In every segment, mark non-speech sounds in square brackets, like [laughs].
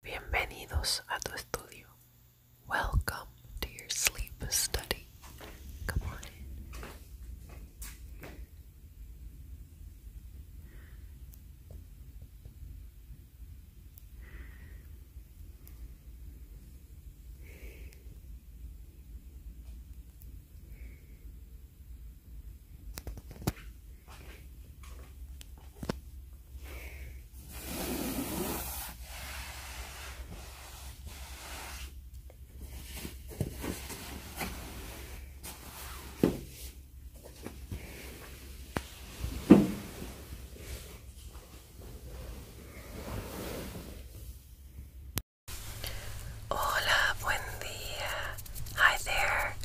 Bienvenidos a tu estudio. Welcome to your sleep study. Come on in. Hola, buen día. Hi there.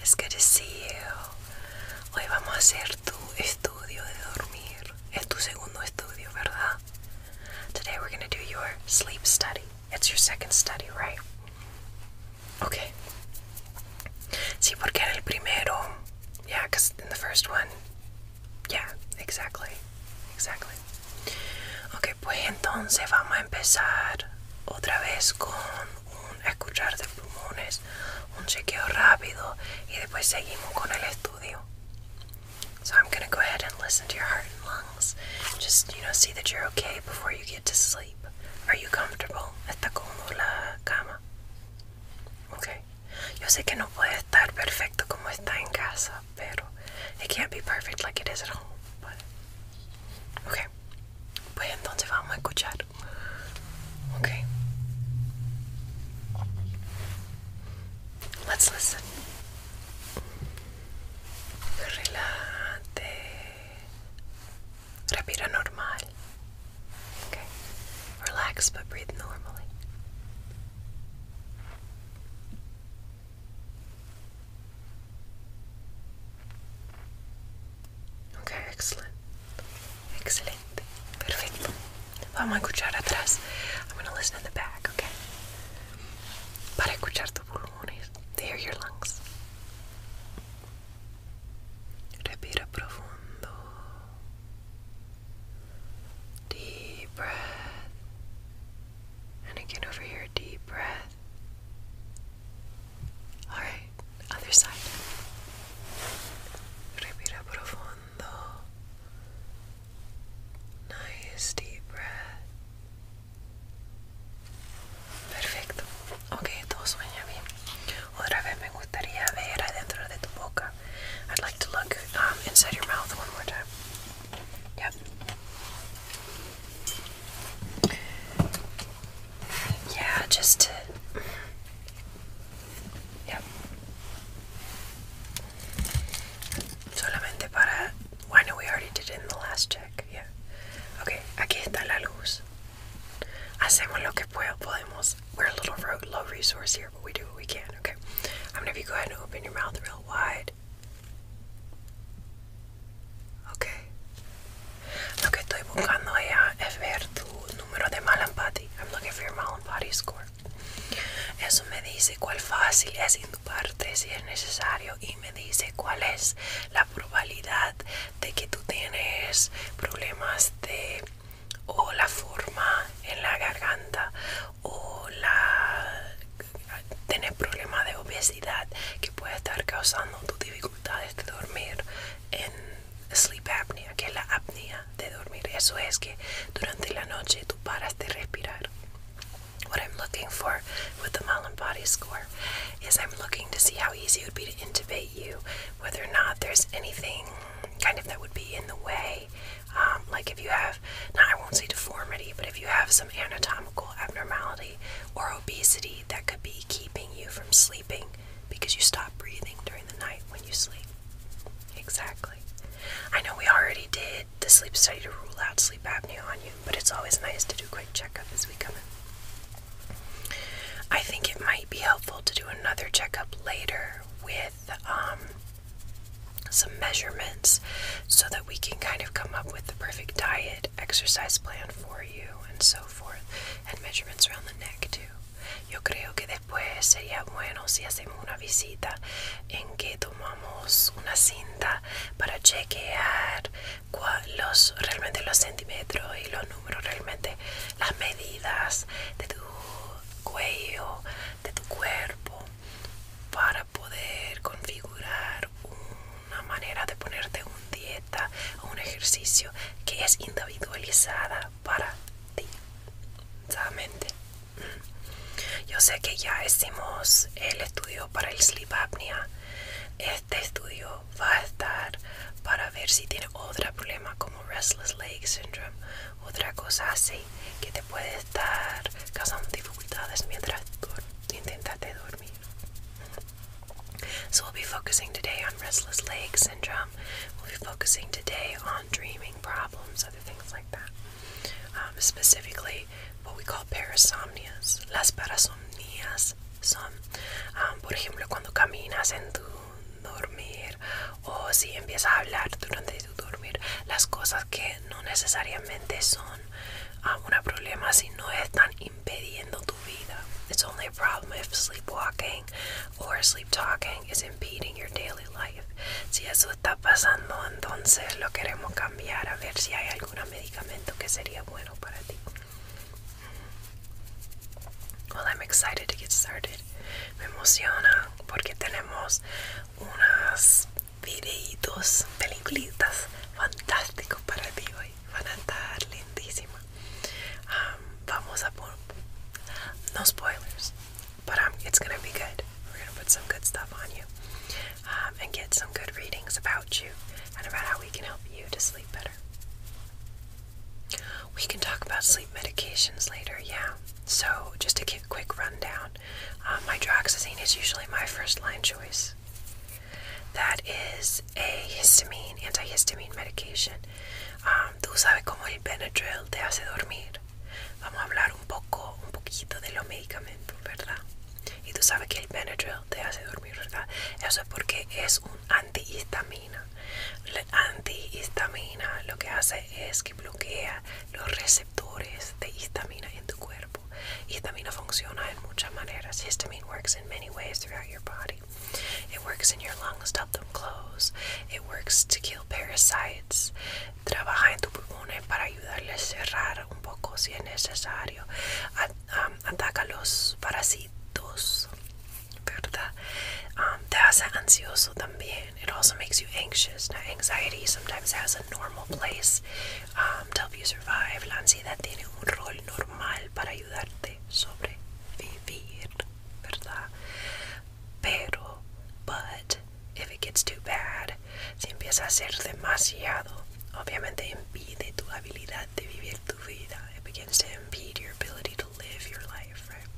It's good to see you. Hoy vamos a hacer tu estudio de dormir. Es tu segundo estudio, ¿verdad? Today we're going to do your sleep study. It's your second study, right? Okay. Sí, porque era el primero, yeah, because en the first one, yeah, exactly, exactly. Ok, pues entonces vamos a empezar otra vez con un escuchar de pulmones, un chequeo rápido y después seguimos con el estudio. So I'm gonna go ahead and listen to your heart and lungs. Just, you know, see that you're okay before you get to sleep. Are you comfortable? ¿Está cómodo la cama? Okay. Yo sé que no puede estar perfecto como está en casa, pero it can't be perfect like it is at home. But... Okay. Pues entonces vamos a escuchar. Okay. Let's listen. Relate. Respira normal. Okay. Relax but breathe normally. Ok, excellent. Excelente. Perfecto. Vamos a escuchar atrás. I'm going to listen in the back, ok? Para escuchar tus pulmones. To hear your lungs. Respira profundo. Deep breath. And again over here, deep breath. Alright, right, other side. deep breath. Perfecto. Ok, todo sueña bien. Otra vez me gustaría I'd like to look um, inside your mouth one more time. Yep. Yeah, just to ya solamente para bueno we already did in the last check yeah okay aquí está la luz hacemos lo que podemos we're a little low resource here but we do what we can okay I'm gonna have go ahead and open your mouth real wide okay lo que estoy buscando es ver número de Malampati. I'm looking for your Malampati score. Eso me dice cuál fácil es parte si es necesario y me dice cuál es la probabilidad de que tú tienes problemas de o la forma en la garganta o la tener problemas de obesidad que puede estar causando tus dificultades de dormir en sleep apnea, que la apnea de dormir. Eso es que durante la noche tú paras de respirar. What I'm looking for with the Malin Body Score is I'm looking to see how easy it would be to intubate you, whether or not there's anything kind of that would be in the way. Um, like if you have, now I won't say deformity, but if you have some anatomical abnormality or obesity that could be keeping you from sleeping because you stop breathing during the night when you sleep. Exactly. I know we already did the sleep study to rule out sleep apnea on you, but it's always nice to do a quick checkup as we come in. I think it might be helpful to do another checkup later with um, some measurements so that we can kind of come up with the perfect diet, exercise plan for you, and so forth, and measurements around the neck too. Yo creo que Pues sería bueno si hacemos una visita en que tomamos una cinta para chequear los, realmente los centímetros y los números, realmente las medidas de tu cuello, de tu cuerpo, para poder configurar una manera de ponerte una dieta o un ejercicio que es individualizada para ti. Solamente. Mm. Yo sé que ya hicimos el estudio para el sleep apnea. Este estudio va a estar para ver si tiene otro problema como restless leg syndrome, otra cosa así que te puede estar causando dificultades mientras intentas dormir. we'll be focusing today on restless leg syndrome. We'll be focusing today dreaming problems, other things like that. Um, specifically, what we call parasomnias. Las parasomnias son, um, por ejemplo, cuando caminas en tu dormir o si empiezas a hablar durante tu dormir, las cosas que no necesariamente son um, un problema si no están impediendo tu vida. It's only a problem if sleepwalking or sleep talking is impeding your daily life. Si eso está pasando, entonces lo queremos cambiar a ver si hay algún medicamento que sería bueno para ti. Well, I'm excited to get started. Me emociona porque tenemos unos videitos, peliculitas fantásticos para ti hoy. Van a estar lindísimas. Um, vamos a por... No spoilers. but um, it's gonna be good. We're gonna put some good stuff on you um, and get some good readings about you and about how we can help you to sleep better. We can talk about sleep medications later, yeah. So, just to give a quick rundown, um, hydroxyzine is usually my first line choice. That is a histamine, antihistamine medication. Um, tú sabes cómo el Benadryl te hace dormir. Vamos a hablar un poco, un poquito de los medicamentos, ¿verdad? Y tú sabes que el Benadryl te hace dormir, ¿verdad? Eso es porque es un antihistamina. La antihistamina lo que hace es que bloquea los receptores de histamina en tu cuerpo. Histamina funciona en muchas maneras. Histamine works in many ways throughout your body. It works in your lungs to help them close. It works to parasites. Trabaja en tu pulmónes para ayudarles a cerrar un poco si es necesario. Um, ataca los parásitos, ¿verdad? Um, te hace ansioso también. It also makes you anxious. anxiety sometimes has a normal place um, to help you survive. La ansiedad tiene un rol normal para ayudarte sobrevivir, ¿verdad? Pero, but, if it gets too bad, si empieza a ser demasiado, obviamente impide tu habilidad de vivir tu vida. It begins to impede your ability to live your life, right?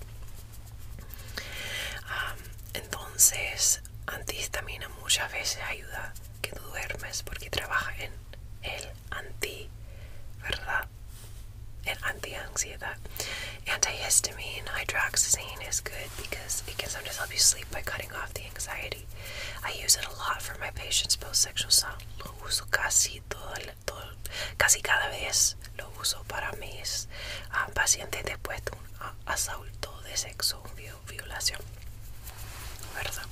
Um, entonces, antihistamina muchas veces ayuda que tú duermes porque trabaja en el anti, ¿verdad? and anti-anxiedad. Antihistamine hydroxyzine is good because it can sometimes help you sleep by cutting off the anxiety. I use it a lot for my patients post-sexual Lo uso casi todo, casi cada vez lo uso para mis ah, pacientes después de un ah, asalto de sexo, un violación, ¿verdad?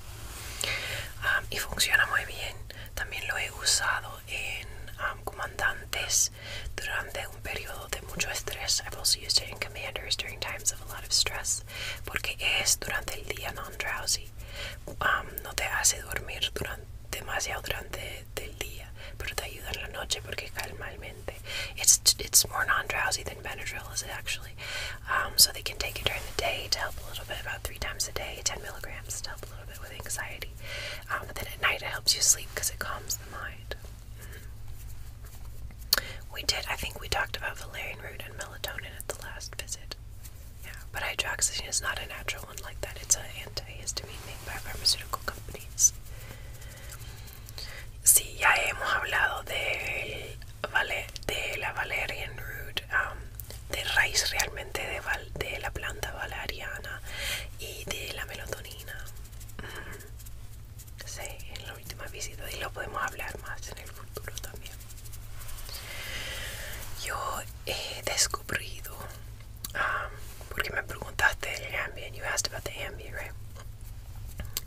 Ah, y funciona muy bien. También lo he usado in um, comandantes durante un periodo de mucho i I've also used it in commanders during times of a lot of stress. Porque es durante el día non-drowsy. Um, no te hace dormir durante, demasiado durante el día, pero te ayuda en la noche It's, more non-drowsy than Benadryl is actually. Um, so they can take it during the day to help a little bit, about three times a day, 10 milligrams to help a little bit with anxiety. Um, but then at night it helps you sleep because it calms the mind. Mm-hmm. We did, I think we talked about valerian root and melatonin at the last visit. Yeah, but hydroxyzine is not a natural one like that. It's an antihistamine made by pharmaceutical companies. Sí, ya hemos hablado de, la valerian root, um, de raíz realmente de la planta valeriana y de la melatonina. Sí, en la última visita y lo podemos hablar más en el futuro también. Yo he descubrido, ah, porque me preguntaste el ambient, you asked about the ambient, right?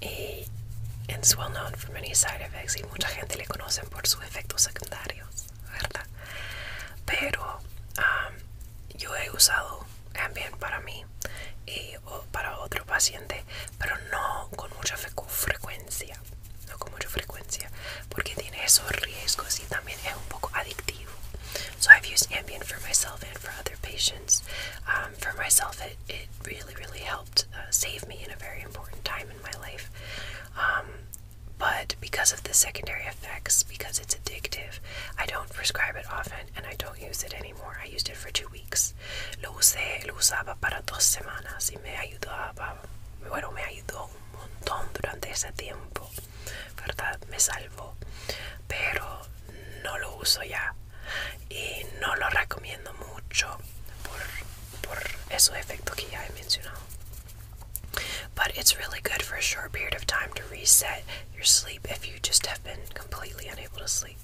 Y es well known for many side effects y mucha gente le conoce por sus efectos secundarios, ¿verdad? Pero ah, yo he usado ambient para mí y o para otro paciente, pero no con mucha frecuencia, no con mucha frecuencia, porque tiene esos riesgos y también es un poco adictivo. So I've used Ambien for myself and for other patients. Um, for myself, it, really, really helped uh, save me in a very important time in my life. Um, but because of the secondary effects, because it's addictive, I don't prescribe it often and I don't use it anymore. I used it for two weeks. Lo usé, lo usaba para dos semanas y me ayudaba. Bueno, me ayudó un montón durante ese tiempo, ¿verdad? Me salvó. Pero no lo uso ya y no lo recomiendo mucho por, por esos efectos que ya he But it's really good for a short period of time to reset your sleep if you just have been completely unable to sleep.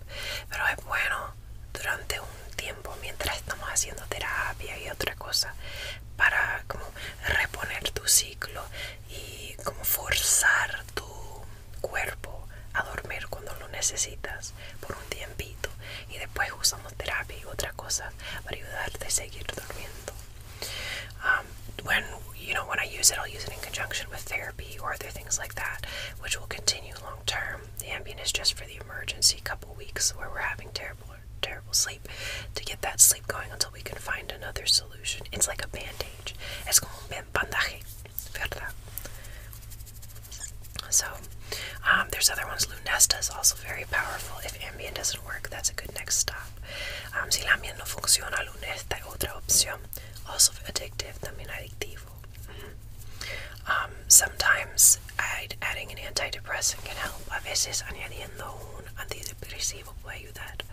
Pero es bueno durante un tiempo mientras estamos haciendo terapia y otra cosa para como reponer tu ciclo y como forzar tu cuerpo a dormir cuando lo necesitas por un tiempito y después usamos terapia y otra cosa para ayudarte a seguir durmiendo. Ah, Um, when you know when I use it, I'll use it in conjunction with therapy or other things like that, which will continue long term. The Ambien is just for the emergency couple weeks where we're having terrible, terrible sleep to get that sleep going until we can find another solution. It's like a bandage. Es como un bandaje, verdad? So, um, there's other ones. Lunesta is also very powerful. If Ambien doesn't work, that's a good next stop. Um, si la no funciona, Lunesta otra opción also addictive también adictivo mm -hmm. um, sometimes adding an antidepressant can help a veces añadiendo un antidepresivo puede ayudar that.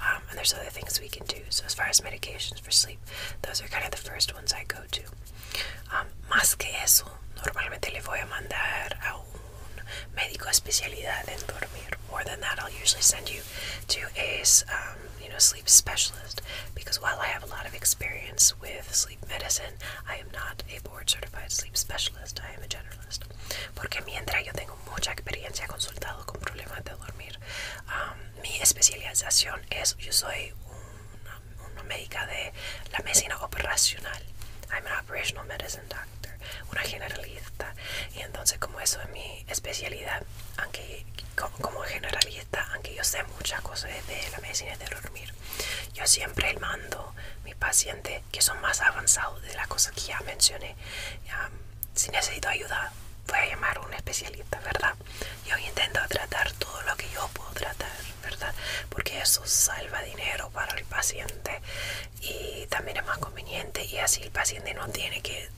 Um, and there's other things we can do so as far as medications for sleep those are kind of the first ones I go to um, más que eso normalmente le voy a mandar a un médico especialidad en dormir more i usually send you to a um, you know, sleep specialist because while I have a lot of experience with sleep medicine, I am not a board certified sleep specialist. I am a generalist. Porque mientras yo tengo mucha experiencia consultado con problemas de dormir, um, mi especialización es yo soy una, médica de la medicina operacional. I'm an operational medicine doctor, una generalista. Y entonces como eso es mi especialidad, aunque como generalista, aunque yo sé muchas cosas de la medicina de dormir, yo siempre mando mis pacientes que son más avanzados de las cosas que ya mencioné. si necesito ayuda, voy a llamar a un especialista, ¿verdad? Yo intento tratar todo lo que yo puedo tratar, ¿verdad? Porque eso salva dinero para el paciente y también es más conveniente y así el paciente no tiene que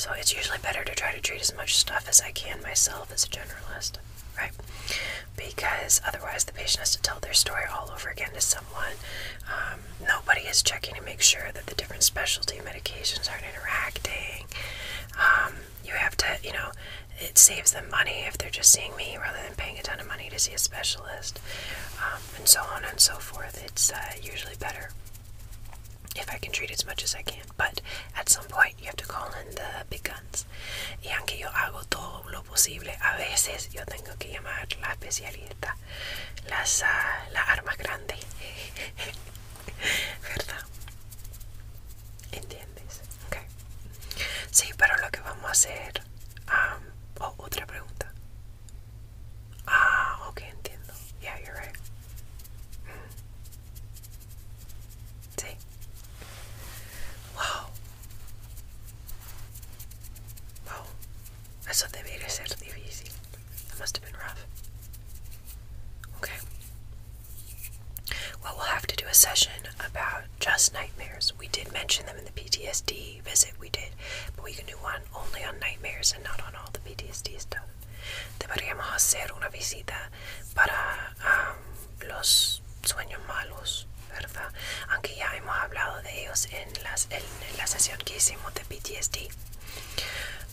So it's usually better to try to treat as much stuff as I can myself as a generalist, Because otherwise the patient has to tell their story all over again to someone. Um, nobody is checking to make sure that the different specialty medications aren't interacting. Um, you have to, you know, it saves them money if they're just seeing me rather than paying a ton of money to see a specialist, um, and so on and so forth. It's uh, usually better if I can treat as much as I can, but at some point you have to call in the big guns. Y aunque yo hago todo lo posible, a veces yo tengo que llamar la especialista, las, uh, la arma [laughs] ¿Verdad? ¿Entiendes? Ok. Sí, pero lo que vamos a hacer um, oh, otra pregunta. Ah, ok, entiendo. Yeah, you're right. Mm. Sí. Wow. Wow. Eso debería ser difícil. That must have been rough. Okay. Well, we'll have to do a session about just nightmares. We did mention them in the PTSD visit we did, but we can do one only on nightmares and not on all the PTSD stuff. Deberíamos hacer una visita para um, los sueños malos, ¿verdad? Aunque ya hemos hablado de ellos en, las, en, la sesión que hicimos de PTSD.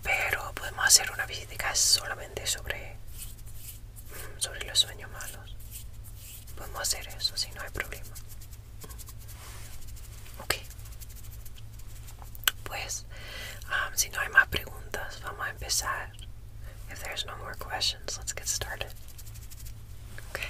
Pero podemos hacer una visita solamente sobre, mm, sobre los sueños malos. Podemos hacer eso no Ok. Pues, um, si no hay más preguntas, vamos a empezar. If there's no more questions, let's get started. Okay.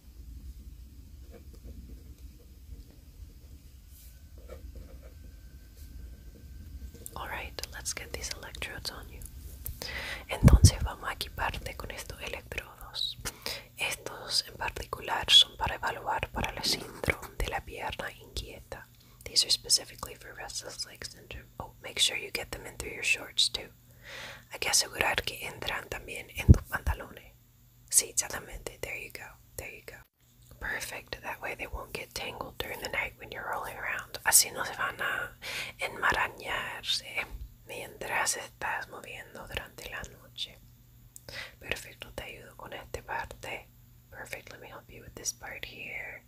Alright, let's get these electrodes on you. Entonces vamos a equiparte con estos electrodos. Estos en particular son para evaluar para el síndrome de la pierna inquieta. These are specifically for restless leg syndrome. Oh, make sure you get them in through your shorts too. Hay que asegurar que entran también en tus pantalones. Seats the Solamente. There you go. There you go. Perfect. That way they won't get tangled during the night when you're rolling around. Así no se van a enmarañarse mientras estás moviendo durante la noche. Perfecto. Te ayudo con este parte. Perfect. Let me help you with this part here.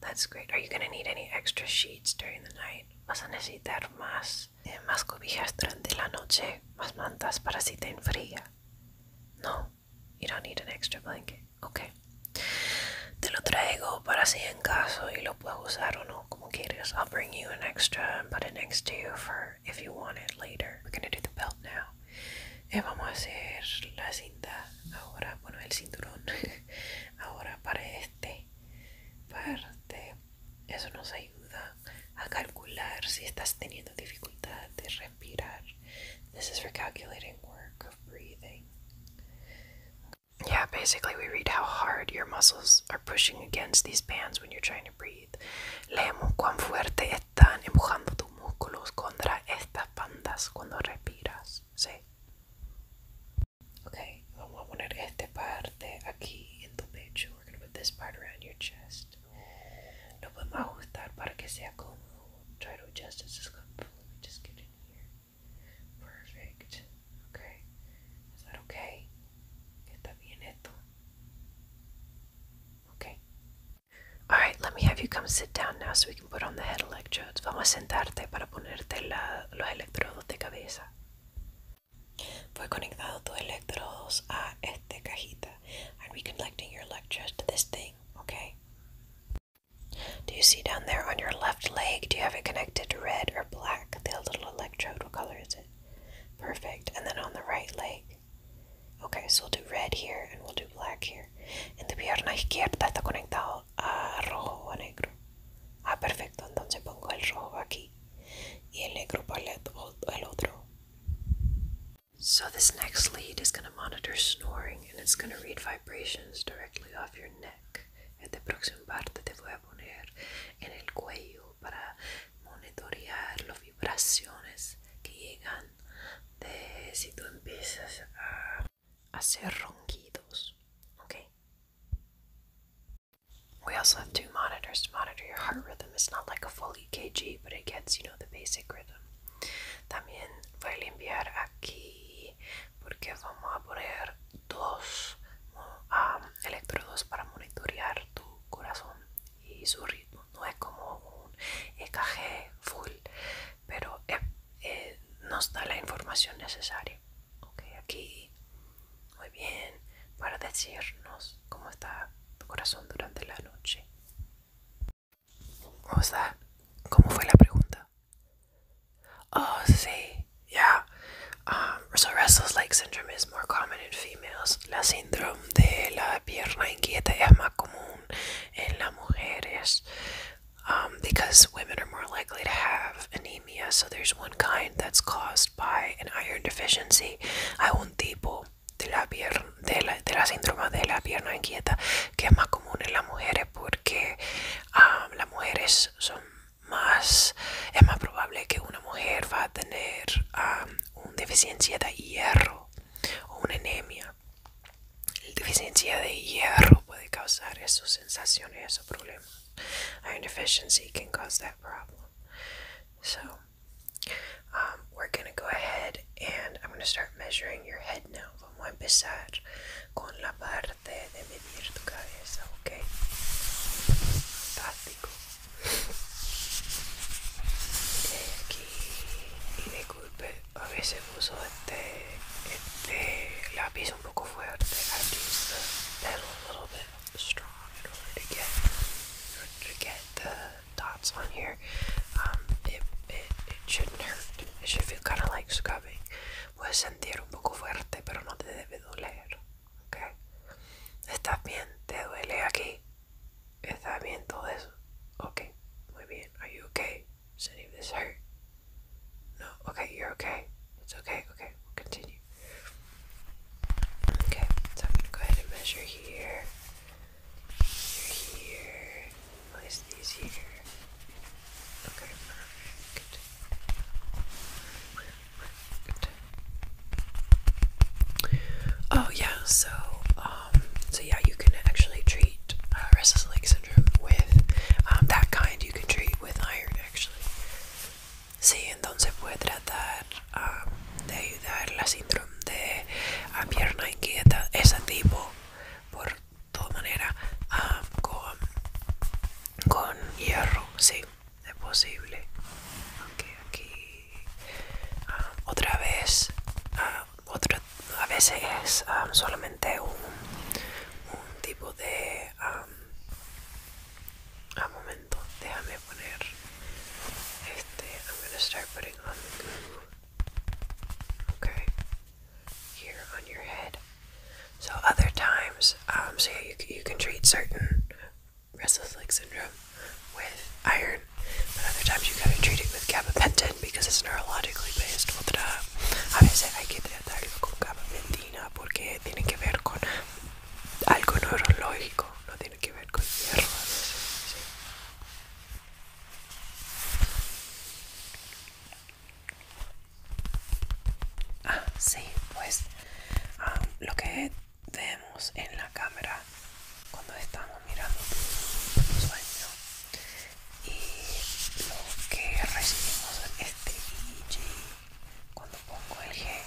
That's great. Are you going to need any extra sheets during the night? Vas a necesitar más Eh, más, cobijas durante la noche, más mantas para si te enfría. No, you don't need an extra blanket. Ok. Te lo traigo para si en caso y lo puedo usar o no, como quieres. I'll bring you an extra and put it next to you for if you want it later. We're do the belt now. Eh, vamos a hacer la cinta ahora, bueno, el cinturón. [laughs] ahora para este parte. Eso nos ayuda a calcular si estás teniendo dificultad de respirar. This is for calculating work of breathing. Yeah, basically, we read how hard your muscles are pushing against these bands when you're trying to breathe. Leemos cuán fuerte están empujando tus músculos contra estas bandas cuando respiras. Sí. Ok, vamos a poner esta parte aquí en tu pecho. we're gonna put this part around your chest. No podemos ajustar para que sea comodo try to adjust as this comes. Let me just get in here. Perfect. Okay. Is that okay? Está bien esto. Okay. Alright, let me have you come sit down now so we can put on the electrodes. Vamos a sentarte para ponerte la, los electrodos de cabeza. Fue conectado tu your electrodes to this thing, okay? Do you see down there on your left leg? Do you have it connected red or black? The little electrode, what color is it? Perfect. And then on the right leg. Okay, so we'll do red here and we'll do black here. En tu pierna izquierda está conectado a rojo o a negro. Ah, perfecto. Entonces pongo el rojo aquí y el negro palet el otro. So this next lead is going to monitor snoring and it's going to read vibrations directly off your neck. En la próxima parte te voy a poner en el cuello para monitorear las vibraciones que llegan de si tú empiezas a hacer ronquidos. ¿Ok? We also have two monitors to monitor your heart rhythm. It's not like a full EKG, but it gets, you know, the basic rhythm. También voy a limpiar aquí porque vamos a poner dos um, electrodos para monitorear tu corazón y su ritmo. No es como un EKG full, pero eh, eh, nos da la información necesaria. Okay, aquí Muy bien, para decirnos cómo está tu corazón durante la noche. O ¿cómo fue la pregunta? Oh, sí, yeah. Um, so restless leg syndrome is more common in females. La síndrome de la pierna inquieta es más común en las mujeres. Um, because women are more likely to have anemia, so there's one kind that's caused by an iron deficiency hay un tipo de la, de, síndrome de la pierna inquieta que es más común en las mujeres porque las mujeres son más es más probable que una mujer va a tener una deficiencia de hierro o una anemia la deficiencia de hierro puede causar esas sensaciones o problemas iron deficiency can cause that problem Um, we're going to go ahead and I'm going to start measuring your head now. Vamos a empezar con la parte de medir tu cabeza, okay? Fantástico. Y disculpe, a veces uso este, este lápiz un poco fuerte. I use the pedal strong in order to get in order to get the dots on here. Um, it, it, it shouldn't hurt. It should feel kind of like scubbing. Puedes sentir un poco fuerte, pero no te debe doler. Okay. ¿Estás bien? ¿Te duele aquí? ¿Está bien todo eso? Okay. Muy bien. Are you okay? Does any of this hurt? No. Okay, you're okay. It's okay. Okay, we'll continue. Okay, so I'm gonna go ahead and measure here. here. Place these here. Okay, Good. Oh yeah, so um, so yeah, you can actually treat uh, restless leg syndrome with um, that kind. You can treat with iron actually. Sí, entonces puede tratar ah, de ayudar la síndrome de ah, pierna inquieta, ese tipo, por toda manera, ah, con, hierro, sí, es posible. aunque aquí, otra vez, otra, a veces es solamente un, tipo de a ah, momento, déjame poner este. I'm gonna start putting on the goo. Okay, here on your head. So other times, um, so yeah, you you can treat certain restless leg syndrome with iron, but other times you gotta treat it with gabapentin because it's neurologically based. A veces hay que tratarlo con gabapentina porque tiene que ver con algo neurológico tiene que ver con hierro a veces, Ah, sí, pues ah, lo que vemos en la cámara cuando estamos mirando el sueño y lo que recibimos en este GG cuando pongo el gel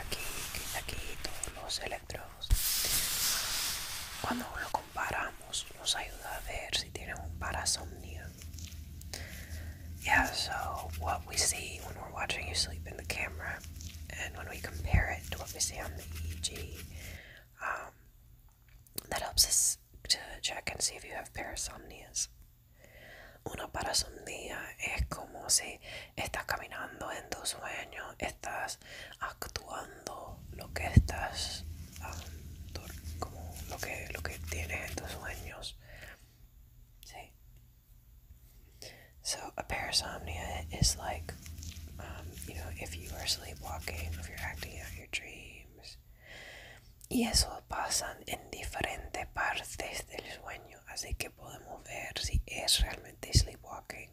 aquí, aquí, todos los so what we see when we're watching you sleep in the camera and when we compare it to what we see on the EEG um, that helps us to check and see if you have parasomnias una parasomnia es como si estás caminando en tus sueños, estás actuando lo que estás, como lo que, lo que tienes en tus sueños. Sí. So, a parasomnia is like, um, you know, if you are sleepwalking, if you're acting out your dreams. Y eso pasa en diferentes partes del sueño, así que podemos ver si es realmente sleepwalking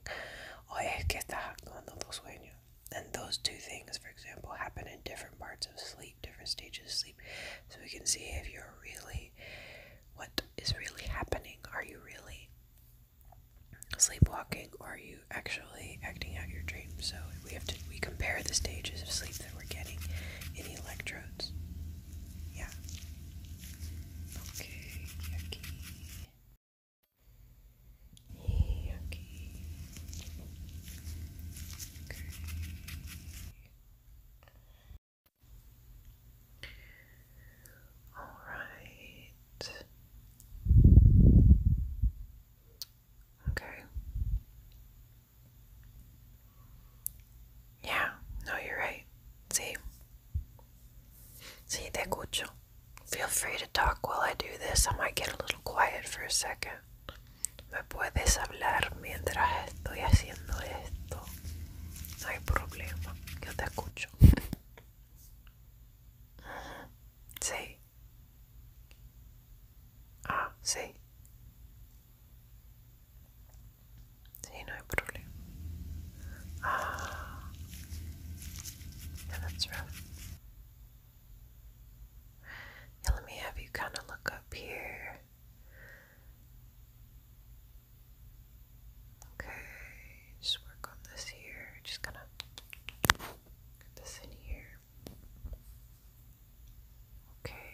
or es que estás actuando por sueño. And those two things, for example, happen in different parts of sleep, different stages of sleep. So we can see if you're really, what is really happening. Are you really sleepwalking or are you actually acting out your dreams? So we have to, we compare the stages of sleep that we're getting in the electrodes. Yeah. Okay, yucky. Okay. All right. Okay. Yeah, no, you're right. See. Sí, te escucho. Feel free to talk while I do this. I might get a little quiet for a second. Me puedes hablar mientras estoy haciendo esto. No hay problema. Yo te escucho. [laughs] sí. Ah, sí. Sí, no hay problema. Ah. [sighs] Yeah, that's rough. Yeah, let me have you kind of look up here. Okay, just work on this here. Just gonna get this in here. Okay.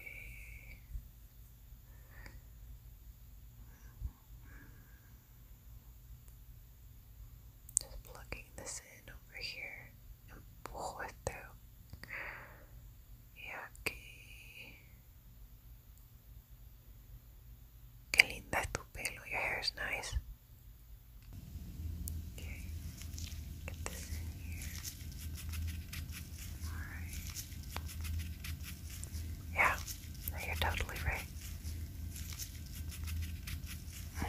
Just plugging this in over here and pull it through. Yucky. Qué linda tu pelo. Your hair is nice. Yeah, you're totally right.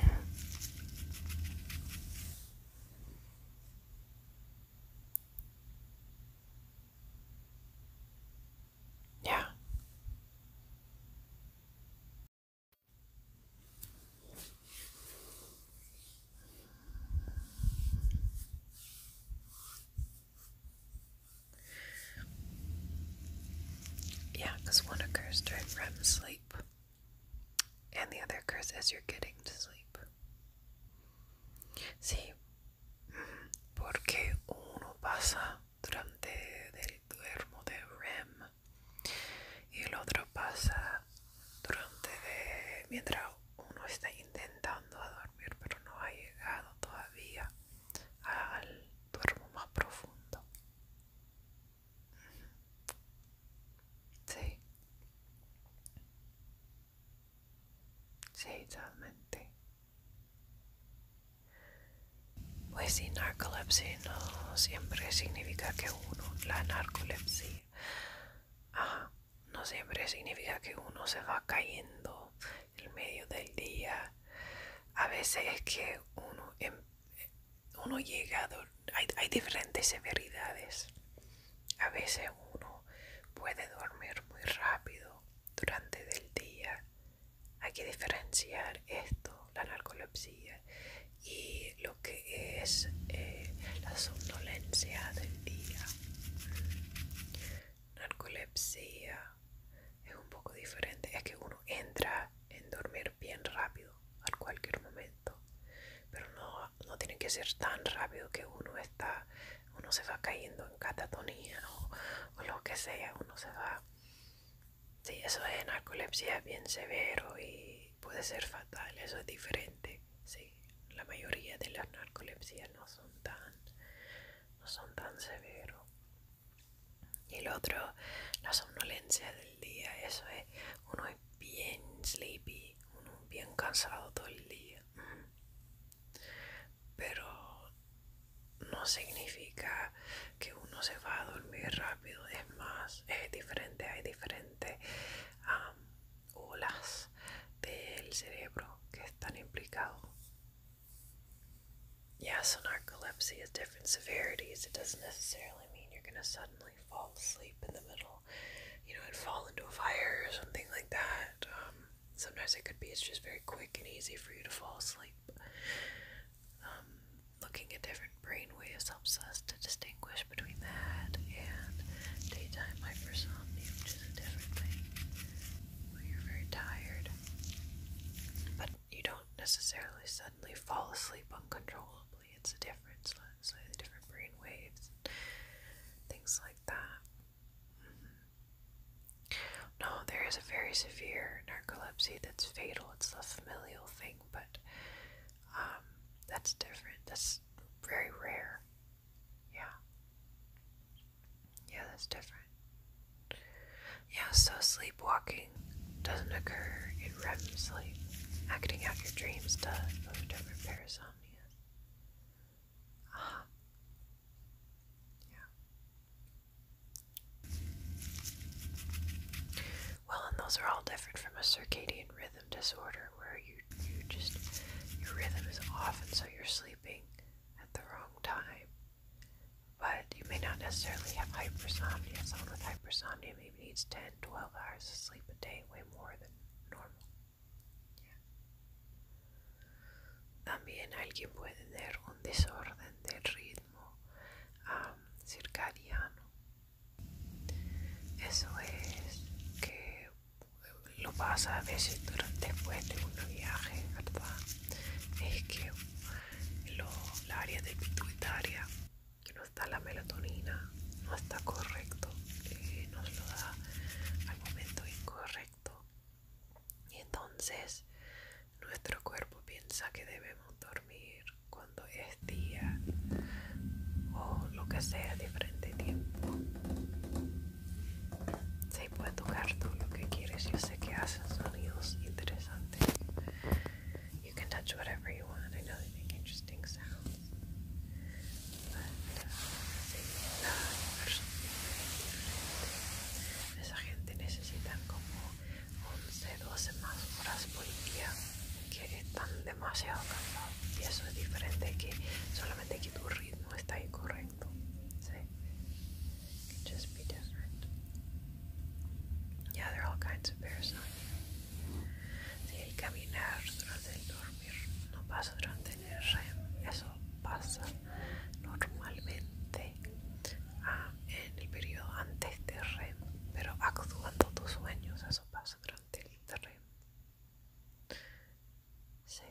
[laughs] Yeah. Yeah, because one occurs during REM sleep, and the other occurs as you're getting to sleep. Sí, porque uno pasa durante el duermo de REM y el otro pasa durante de, mientras uno está intentando dormir pero no ha llegado todavía al duermo más profundo. Sí. Sí, totalmente. Pues si narcolepsia no siempre significa que uno, la narcolepsia, no siempre significa que uno se va cayendo el medio del día. A veces es que uno, em, uno llega, hay, hay diferentes severidades. A veces uno puede dormir muy rápido durante el día. Hay que diferenciar esto, la narcolepsia, y lo que es eh, la somnolencia del día. Narcolepsia es un poco diferente. Es que uno entra en dormir bien rápido a cualquier momento, pero no, tiene que ser tan rápido que uno está, uno se va cayendo en catatonía o, lo que sea, uno se va. Sí, eso es narcolepsia bien severo y puede ser fatal, eso es diferente. Sí, la mayoría de las narcolepsias no son tan, no son tan severos. Y el otro, la somnolencia del día, eso es, uno es bien sleepy, uno bien cansado todo el día. Mm. Pero no significa que uno se va a dormir rápido, es más, es diferente, hay diferentes olas del cerebro que están implicados Yes, so narcolepsy has different severities. It doesn't necessarily mean you're going to suddenly fall asleep in the middle, you know, and fall into a fire or something like that. Um, sometimes it could be it's just very quick and easy for you to fall asleep. Um, looking at different brain waves helps us to distinguish between that and daytime hypersomnia, which is a different thing where you're very tired. But you don't necessarily suddenly fall asleep uncontrollably. It's a difference, so different brain waves, and things like that. Mm-hmm. No, there is a very severe narcolepsy that's fatal. It's the familial thing, but um, that's different. That's very rare. Yeah. Yeah, that's different. Yeah, so sleepwalking doesn't occur in REM sleep. Acting out your dreams does with different parasomnia. Ah. Yeah. Well, and those are all different from a circadian rhythm disorder where you you just your rhythm is off and so you're sleeping at the wrong time but you may not necessarily have hypersomnia. Someone with hypersomnia maybe needs 10, hours of sleep a day, way more than normal. También alguien puede tener un desorden del ritmo um, circadiano. Eso es que lo pasa a veces durante, después de ¿verdad? Es que en la área de pituitaria que no está la melatonina no está correcto eh, nos lo da al momento incorrecto y entonces nuestro cuerpo piensa que debemos dormir cuando es día o lo que sea diferente tiempo sí, puede tocar todo lo que quieres yo sé que hacen sonidos interesantes You can touch whatever you want. I know they make interesting sounds. But, uh, sí, la persona, esa gente necesita como 11, 12 más horas por día que están demasiado cansados. Y eso es diferente que solamente que tu ritmo está incorrecto. Sí. It can just be different. Ya there all kinds of Si el caminar durante el dormir no pasa durante el REM, eso pasa normalmente ah, en el periodo antes del REM, pero actuando tus sueños, eso pasa durante el REM. Sí.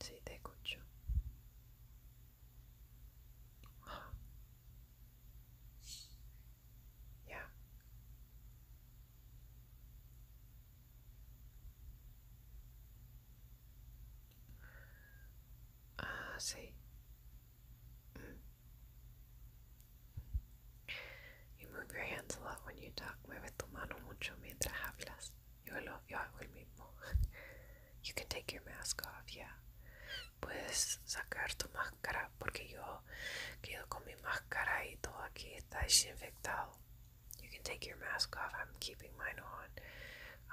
Sí, te escucho. Ya. Ah, sí. Mm. You move your hands a lot when you talk. Mueve tu mano mucho mientras hablas. [laughs] You can take your mask off, yeah. Puedes sacar tu máscara porque yo quedo con mi máscara y todo aquí está desinfectado. You can take your mask off. I'm keeping mine on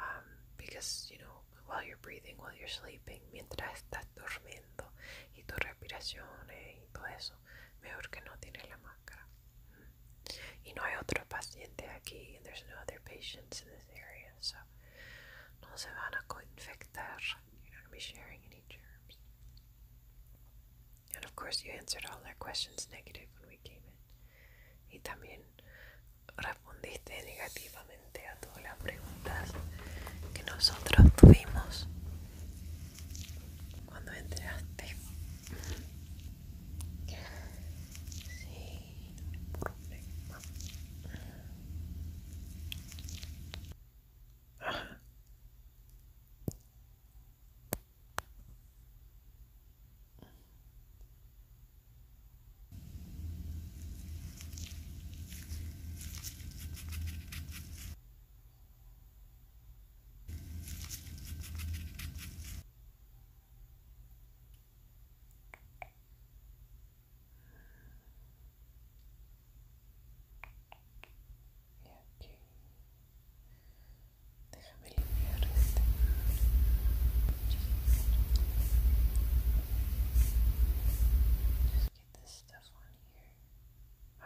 um, because, you know, while you're breathing, while you're sleeping, mientras estás durmiendo y tus respiraciones eh, y todo eso, mejor que no tienes la máscara. Y no hay otro paciente aquí. And there's no other patients in this area. So no se van a coinfectar. You're not going be sharing any germs. And of course, you answered all our questions negative when we came in. Y también respondiste negativamente a todas las preguntas que nosotros tuvimos cuando entraste. Sin problema. Y aquí déjame just get this stuff on here uh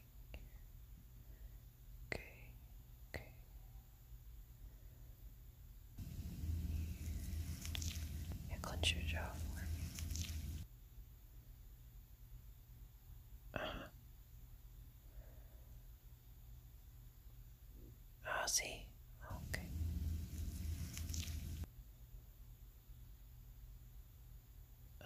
tick. Okay, okay. Yeah, clench your jaw for me. Uh Ah, see? Oh, okay. Uh,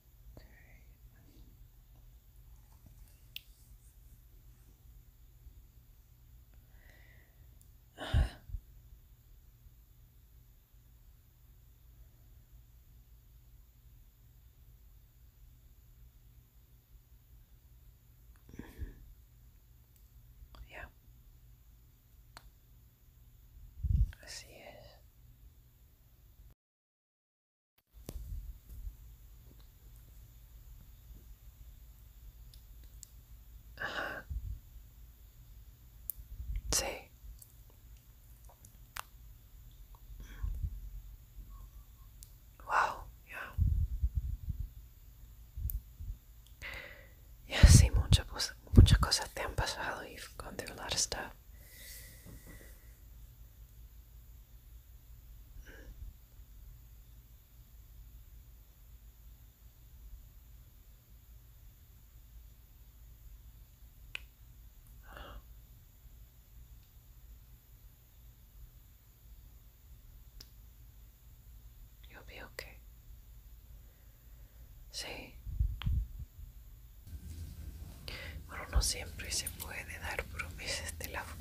Great. [sighs] yeah. Así es. Ajá. Sí. Wow, ya. Yeah. see sí, muchas, muchas cosas te han pasado. You've gone through a lot of stuff. You'll be okay. See, Bueno, no siempre se puede dar promesas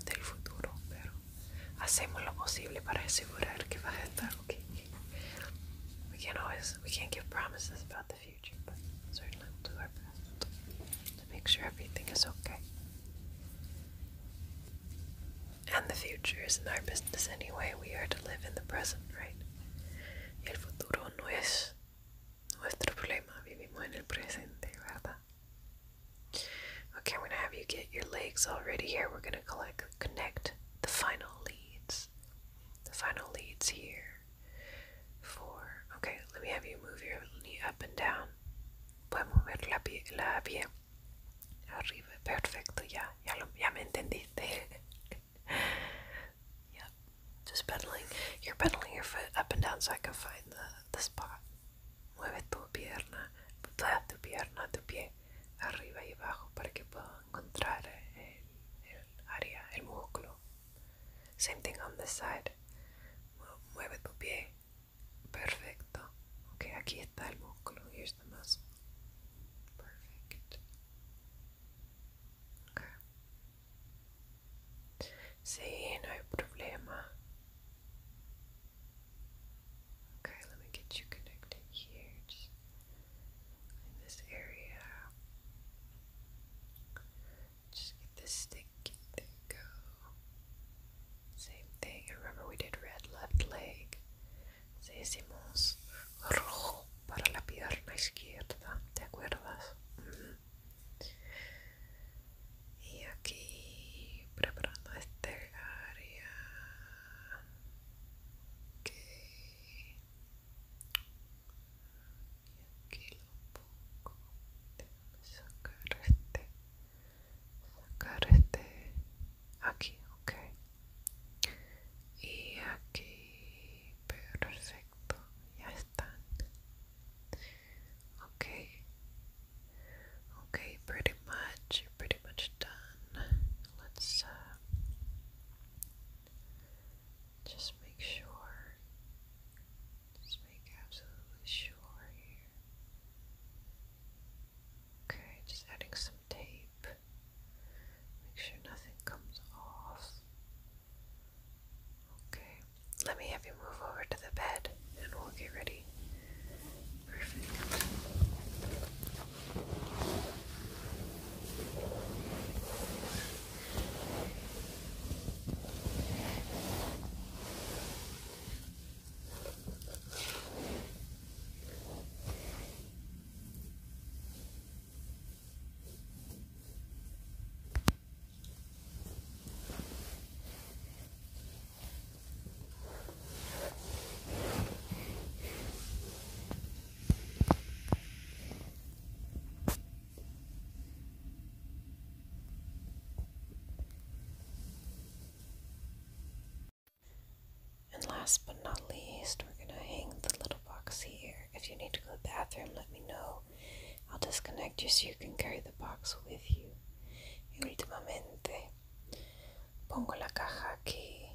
del futuro, pero hacemos lo posible para asegurar que va a estar ok. We can't always, we can't give promises about the future, but certainly to do our best to make sure everything is okay. And the future isn't our business anyway. We are to live in the present, right? el futuro no es Okay, I'm going to have you get your legs already here. We're going to collect, connect the final leads. The final leads here. Four. Okay, let me have you move your knee up and down. Puedes mover la pie, la pie arriba. Perfecto, ya, ya, lo, ya me entendiste. [laughs] yep. Just pedaling. You're pedaling your foot up and down so I can find the, the spot. Mueve tu pierna, tu pierna, tu pie, arriba y abajo para que pueda encontrar el, el área, el músculo. Same thing on this side. Mueve tu pie. Perfecto. Ok, aquí está el músculo. Here's the muscle. Perfect. Okay. See, no problema. Okay, let me get you connected here, in this area. Just get this stick, there you go. Same thing, remember we did red left leg. Si hicimos rojo para la pierna izquierda, ¿te acuerdas? Mm-hmm. y aquí preparando este área okay. y aquí lo pongo sacar este sacar este aquí okay y aquí perfecto ya están Okay. Okay, pretty much, you're pretty much done. Let's uh, just make sure. Just make absolutely sure here. Okay, just adding some tape. Make sure nothing comes off. Okay, let me have you move over to the bed and we'll get ready. Perfect. And last but not least, we're going to hang the little box here. If you need to go to the bathroom, let me know. I'll disconnect you so you can carry the box with you. Y últimamente, pongo la caja aquí.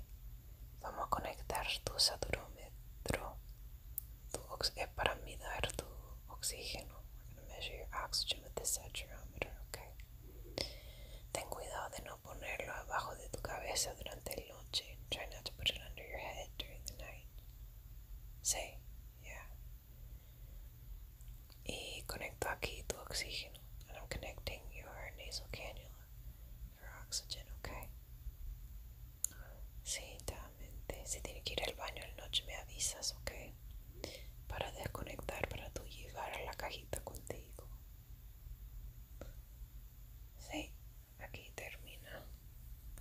Vamos a conectar tu saturómetro tu eh, para mirar tu oxigeno going to measure your oxygen with okay? Ten cuidado de no ponerlo abajo de tu cabeza durante el noche. Try not put it under your head during the night. Say, yeah. Y conecto aquí tu oxígeno. I'm connecting your nasal cannula for oxygen, okay? Si tiene que ir al baño en noche, me avisas, ok? Para desconectar, para tú llevar a la cajita contigo. Sí, aquí termina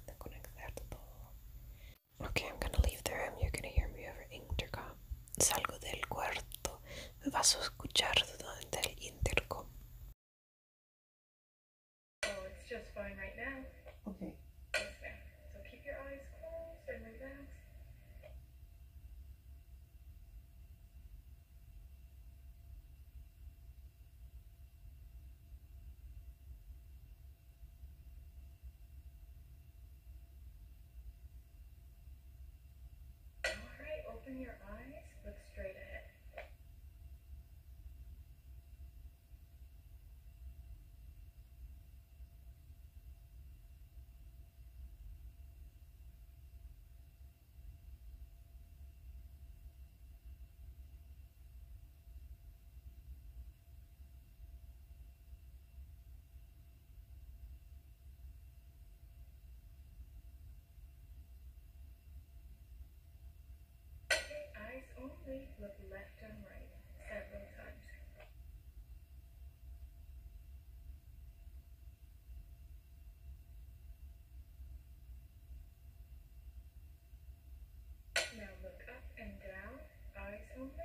de conectar todo. Okay, I'm gonna leave the room. You're gonna hear me over intercom. Salgo del cuarto. vas a escuchar durante el intercom. Oh, it's just fine right now. Okay. Open your eyes, look straight ahead. Eyes only. look left and right several times. Now look up and down, eyes only.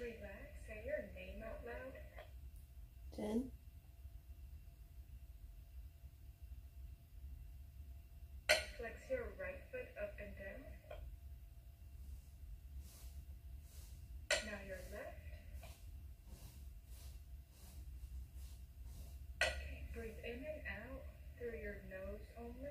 Relax, say your name out loud. Jen? Flex your right foot up and down. Now your left. Okay, breathe in and out through your nose only.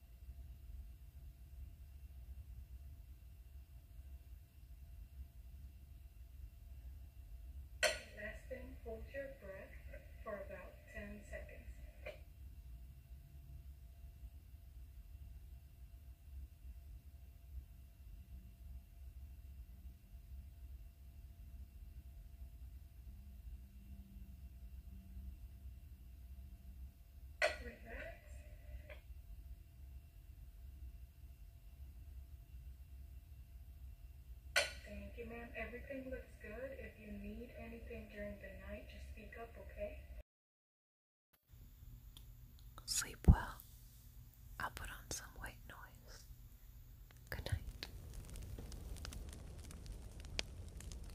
Last thing, hold your breath for about 10 seconds. Thank you, ma'am. Everything looks good. If you need anything during the night, just speak up, okay? Sleep well. I'll put on some white noise. Good night.